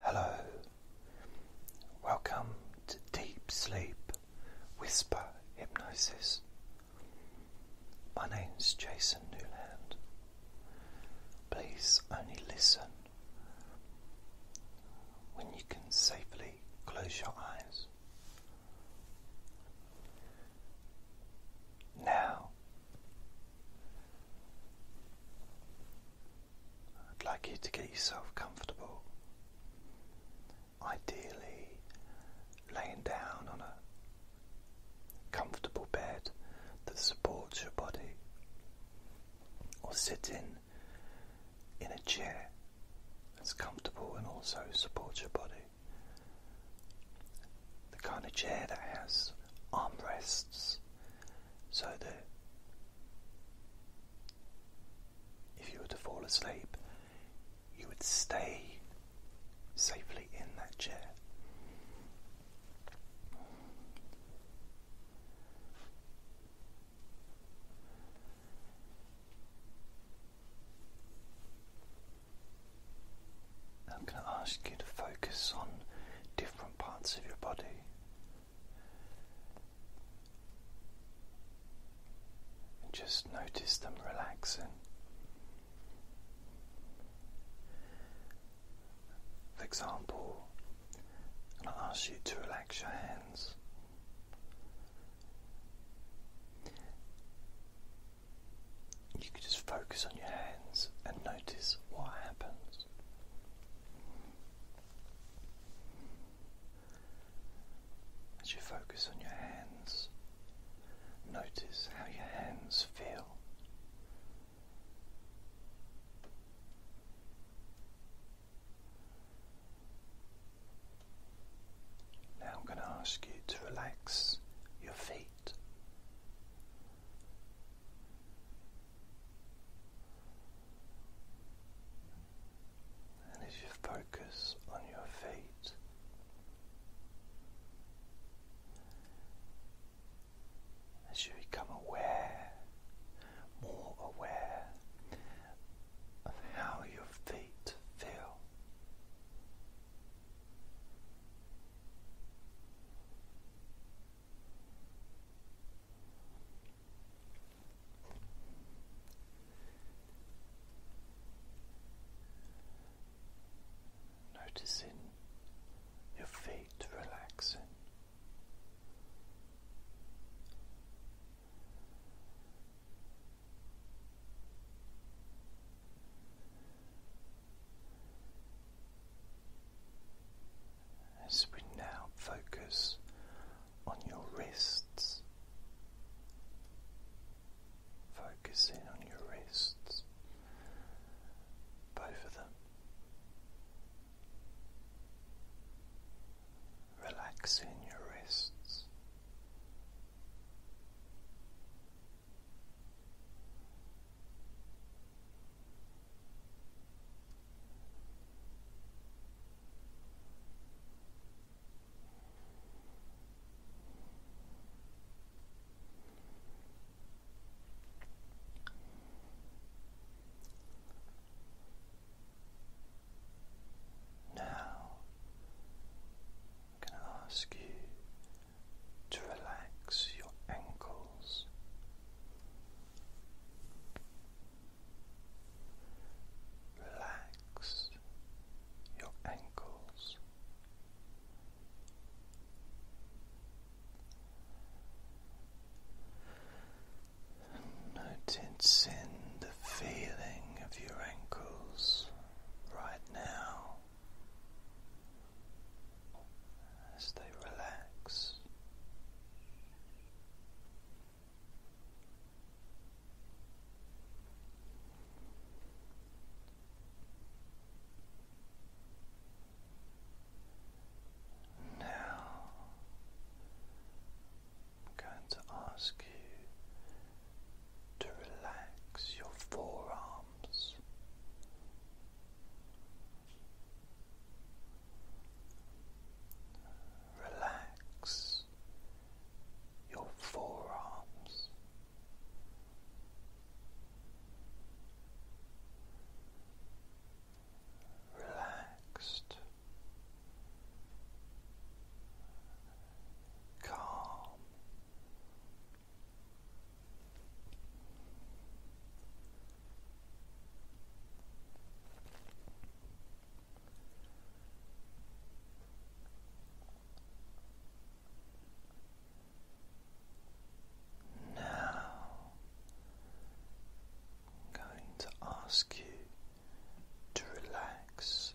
Hello, welcome to Deep Sleep Whisper Hypnosis. My name is Jason Newland. Please only listen when you can safely close your eyes. Now, I'd like you to get yourself comfortable. Ideally, laying down on a comfortable bed that supports your body, or sitting in a chair that's comfortable and also supports your body. The kind of chair that has armrests so that if you were to fall asleep, you would stay safely in that chair. I'm going to ask you to focus on different parts of your body just notice them relaxing. For example, I will ask you to relax your hands. You could just focus on your hands and notice what happens. As you focus on your hands, notice how your hands feel. Now I'm going to ask you to relax your feet. And as you focus on your feet, as you become aware, more aware of how your feet feel. Noticing your feet relaxing. As we now focus on your wrists, focusing on your wrists, both of them, relaxing your wrists. Now, I'm going to ask you to relax your ankles. Relax your ankles. Noticing the feeling of your ankles right now as they relax now, I'm going to ask you to relax your forearms. Relax your forearms. Relaxed, calm, now, I'm going to ask you to relax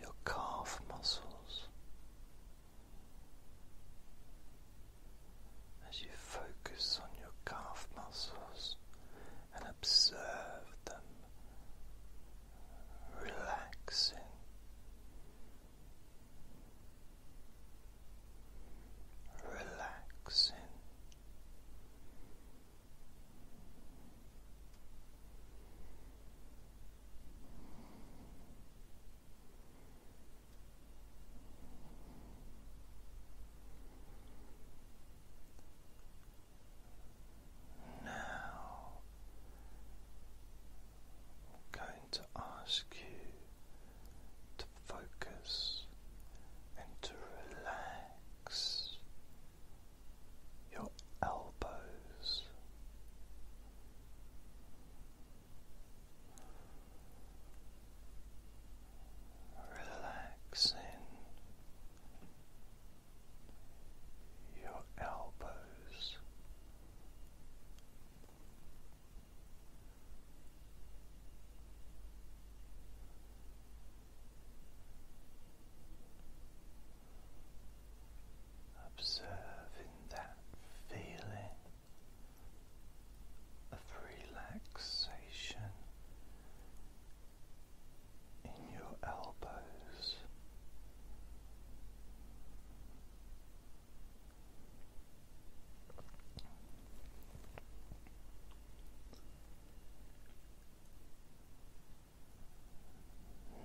your calf muscles as you focus on your calf muscles and observe them relaxing. Relaxing, now, I'm going to ask you to focus and to relax your elbows relaxing your elbows. Observing that feeling of relaxation in your elbows.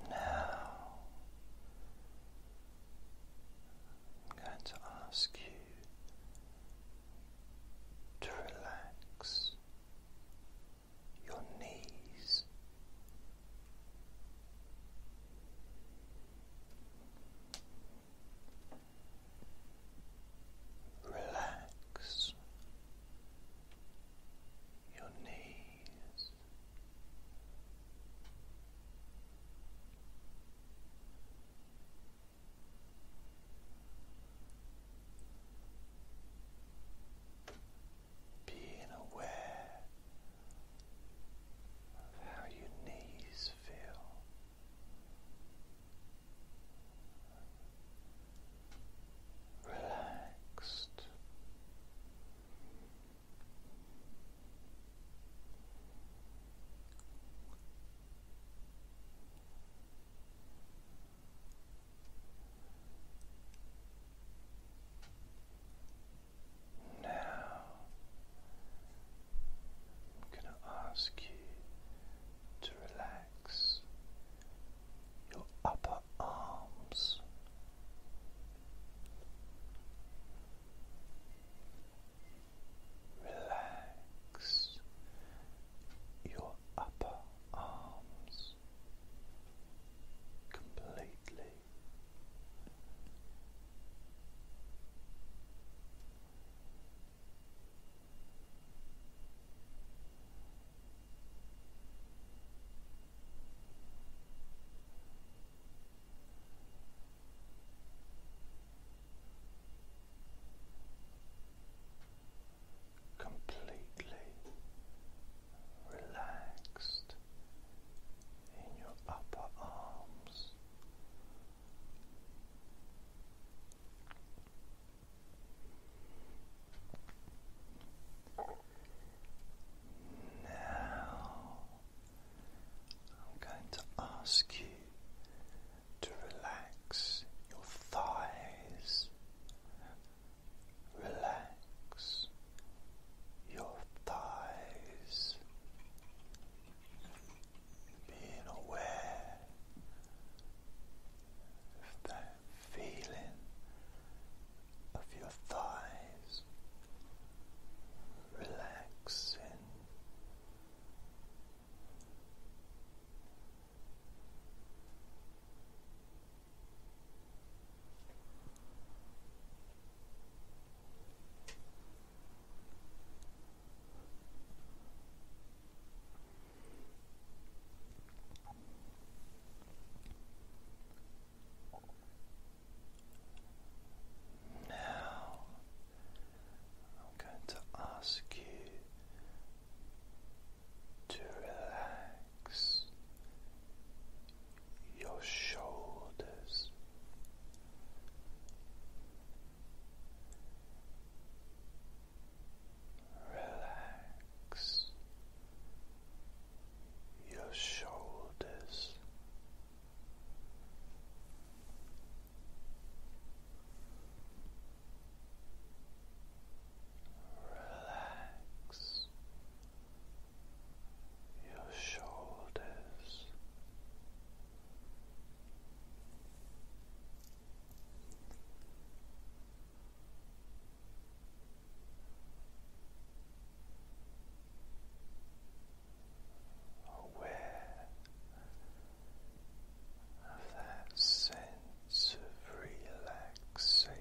Now, I'm going to ask you to relax your knees. Relax your knees. Being aware of how your knees feel. Relaxed, now, I'm going to ask you to relax your upper arms. Relax your upper arms completely completely relaxed in your upper arms. Now, I'm going to ask you to relax your thighs, relax your thighs, being aware of that feeling of your thighs relaxing. Now I'm going to ask you to relax your shoulders. Relax your shoulders. Relax your shoulders. Aware of that sense of relaxation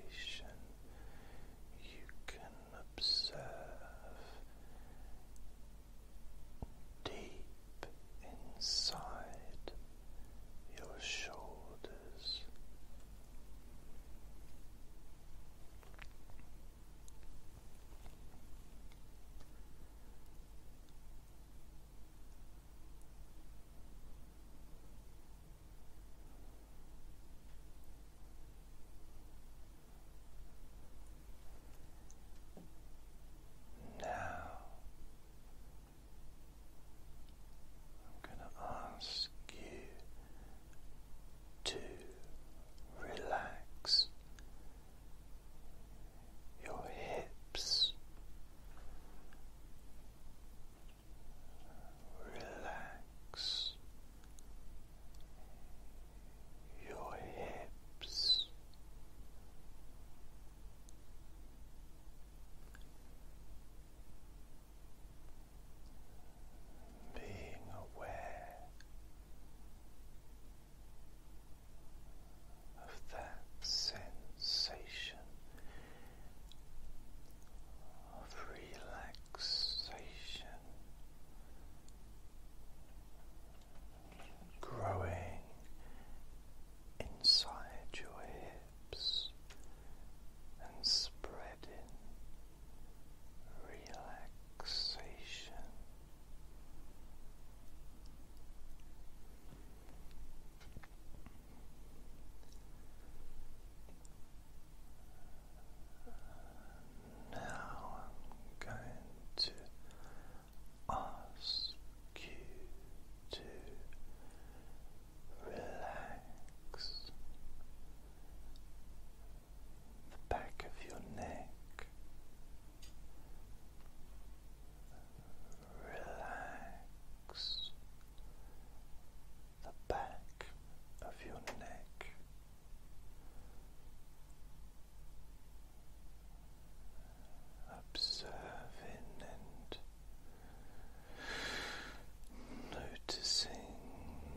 you can observe deep inside your shoulders. Now, I'm going to ask you to relax your hips relax your hips. Being aware of that sensation of relaxation growing inside your hips and spreading relaxation. Now I'm going to ask you to relax the back of your neck, relax the back of your neck. Observing and noticing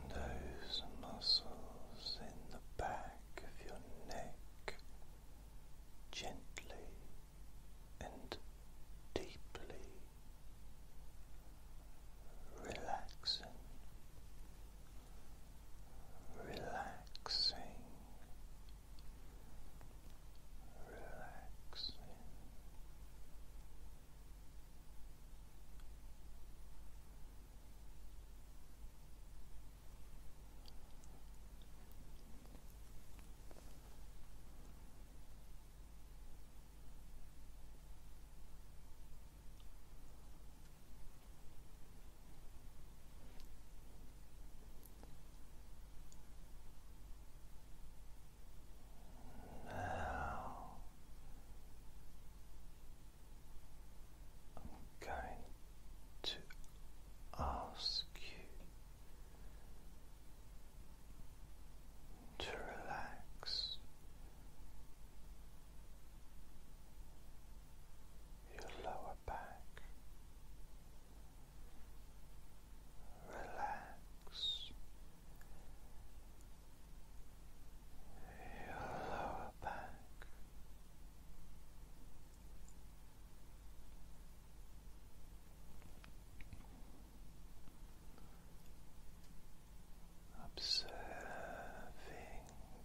those muscles in the back of your neck gently and deeply relaxing, relaxing, relaxing. Now I'm going to ask you to relax your lower back, relax your lower back observing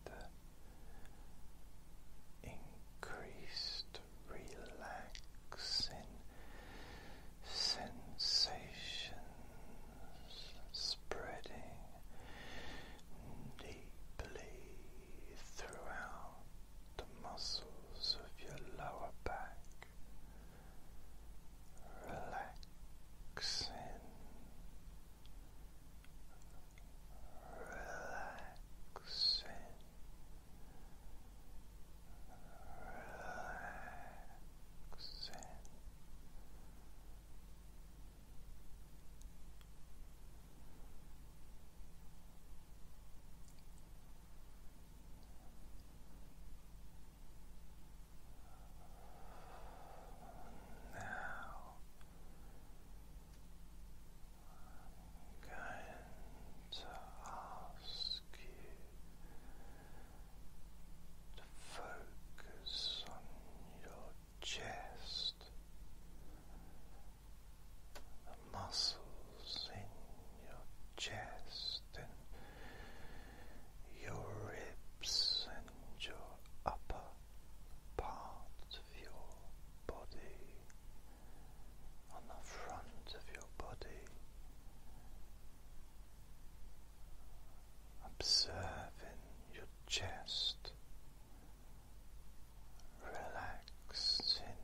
the increased relaxing sensations spreading deeply throughout the muscles of your lower back relaxing, relaxing, relaxing. Relaxing, now going to ask you to focus on your chest, muscles in your chest your ribs and your upper part of your body, on the front of your body, observing your chest. Relaxing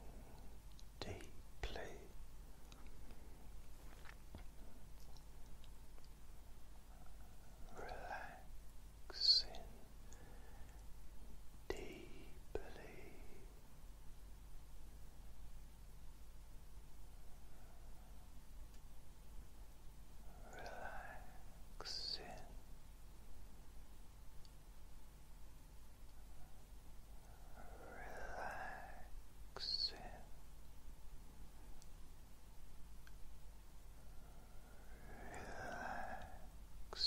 deeply relaxing deeply. Relaxing, relaxing, relaxing, relaxing, relax. Relax.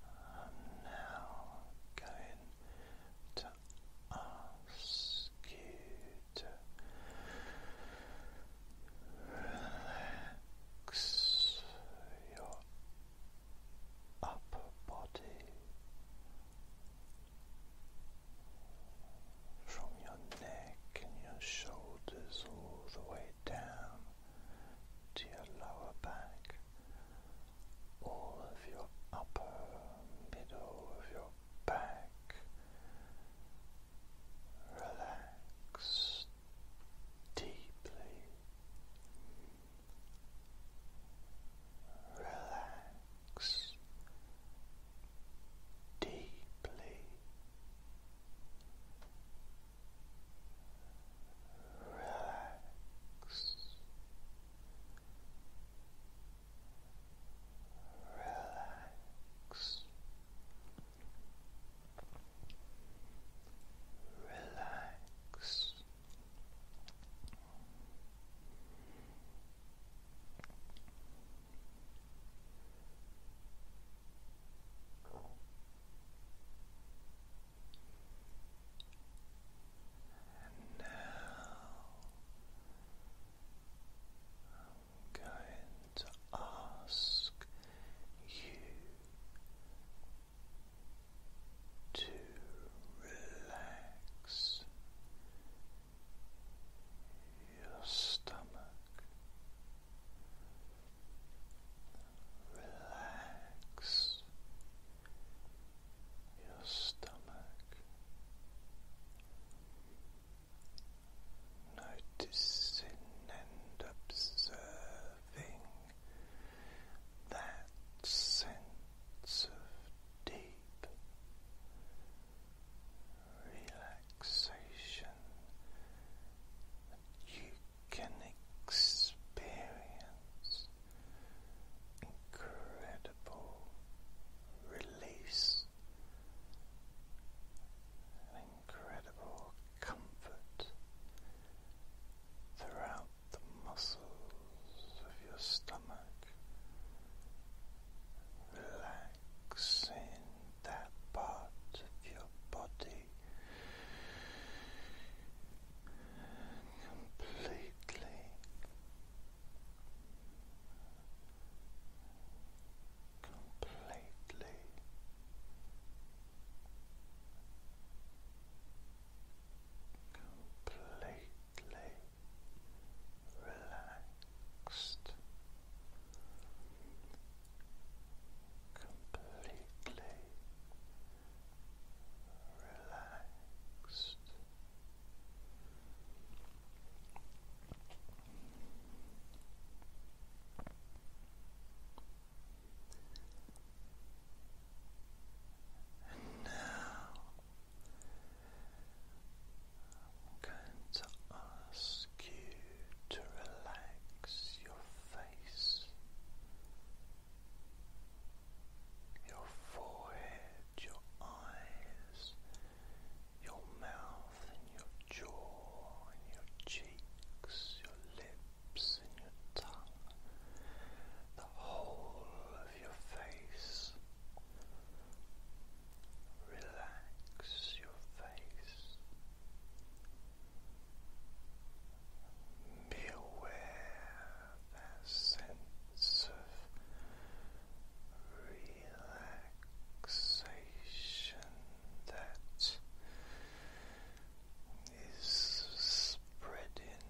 I'm now going to ask you to relax your upper body, from your neck and your shoulders all the way down to your lower back, all of your upper middle of your back relaxed deeply relax deeply, relax, relax. Relax and now I'm going to ask you to relax your stomach, relax your stomach. Noticing and observing that sense of deep relaxation you can experience incredible release incredible comfort throughout the muscles of your stomach, relax in that part of your body completely. Completely completely relaxed, completely relaxed. And now I'm going to ask you to relax your face, your forehead, your eyes, your mouth, and your jaw, and your cheeks, your lips, and your tongue, the whole your face, relax your face. Be that sense of relaxation that is spreading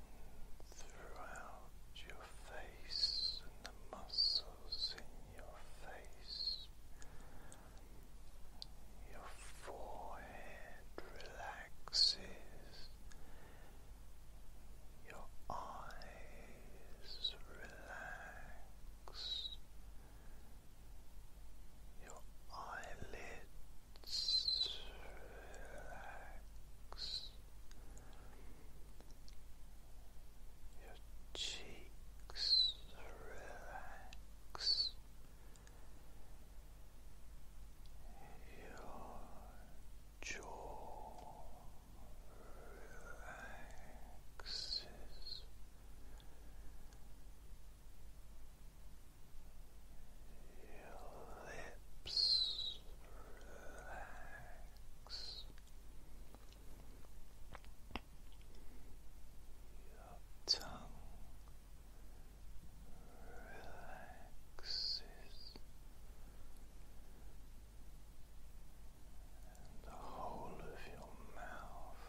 throughout your face and the muscles in your face, your forehead relaxes, your eyes relax, your eyelids relax. Your cheeks relax. Your jaw relaxes. Your lips relax legs. Your relaxes and the whole of your mouth,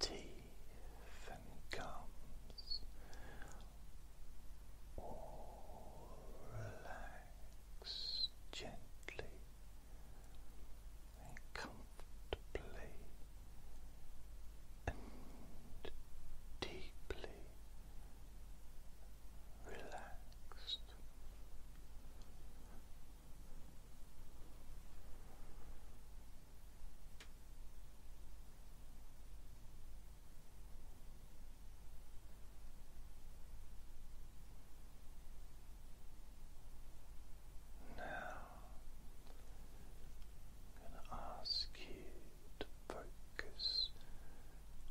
teeth and gums all relax gently and comfortably and deeply relaxed. Now, I'm going to ask you to focus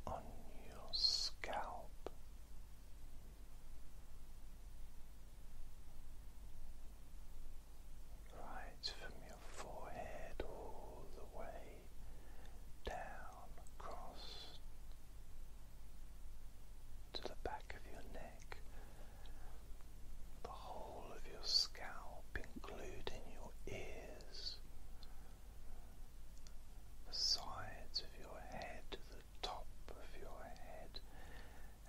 on your scalp. Right from your forehead all the way down down across to the back of your neck, the whole of your scalp, including your ears, the sides of your head, the top of your head,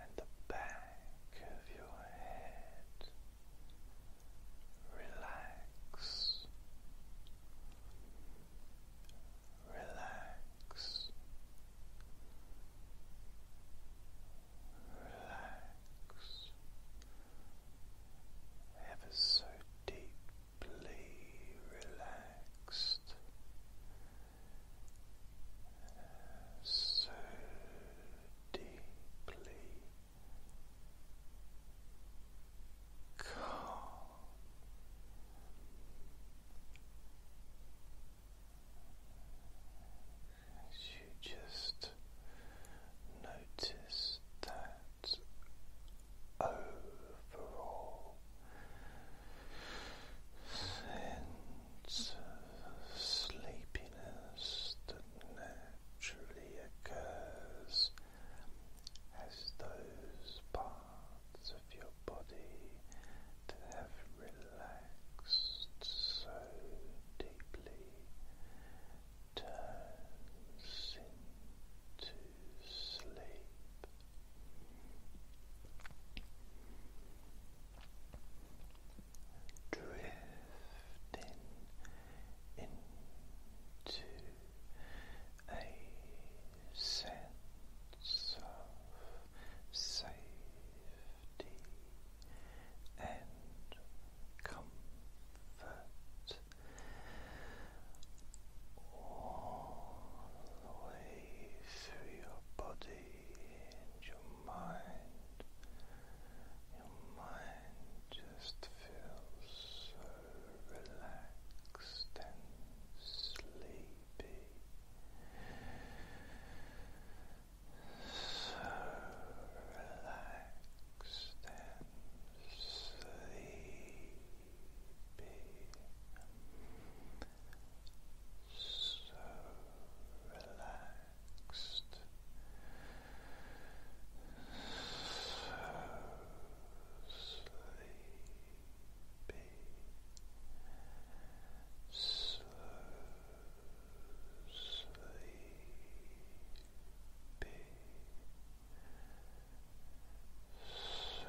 and the back of your head. Relax relax, relax ever so deeply relaxed, so deeply calm. As you just notice that overall sense of sleepiness naturally occurs as those parts of your body that have relaxed so deeply turns into sleep. Drifting into a sense of safety and comfort all the way through your body and your mind. Your mind just feels so relaxed and sleepy, so relaxed and sleepy. So relaxed, so sleepy, be so sleepy, so sleepy. So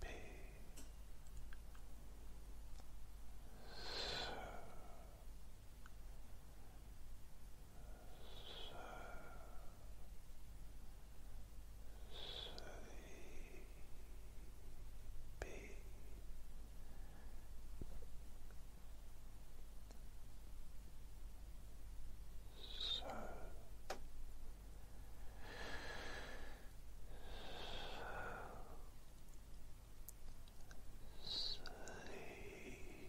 be so, so, sleepy. So so sleepy. Sleepy.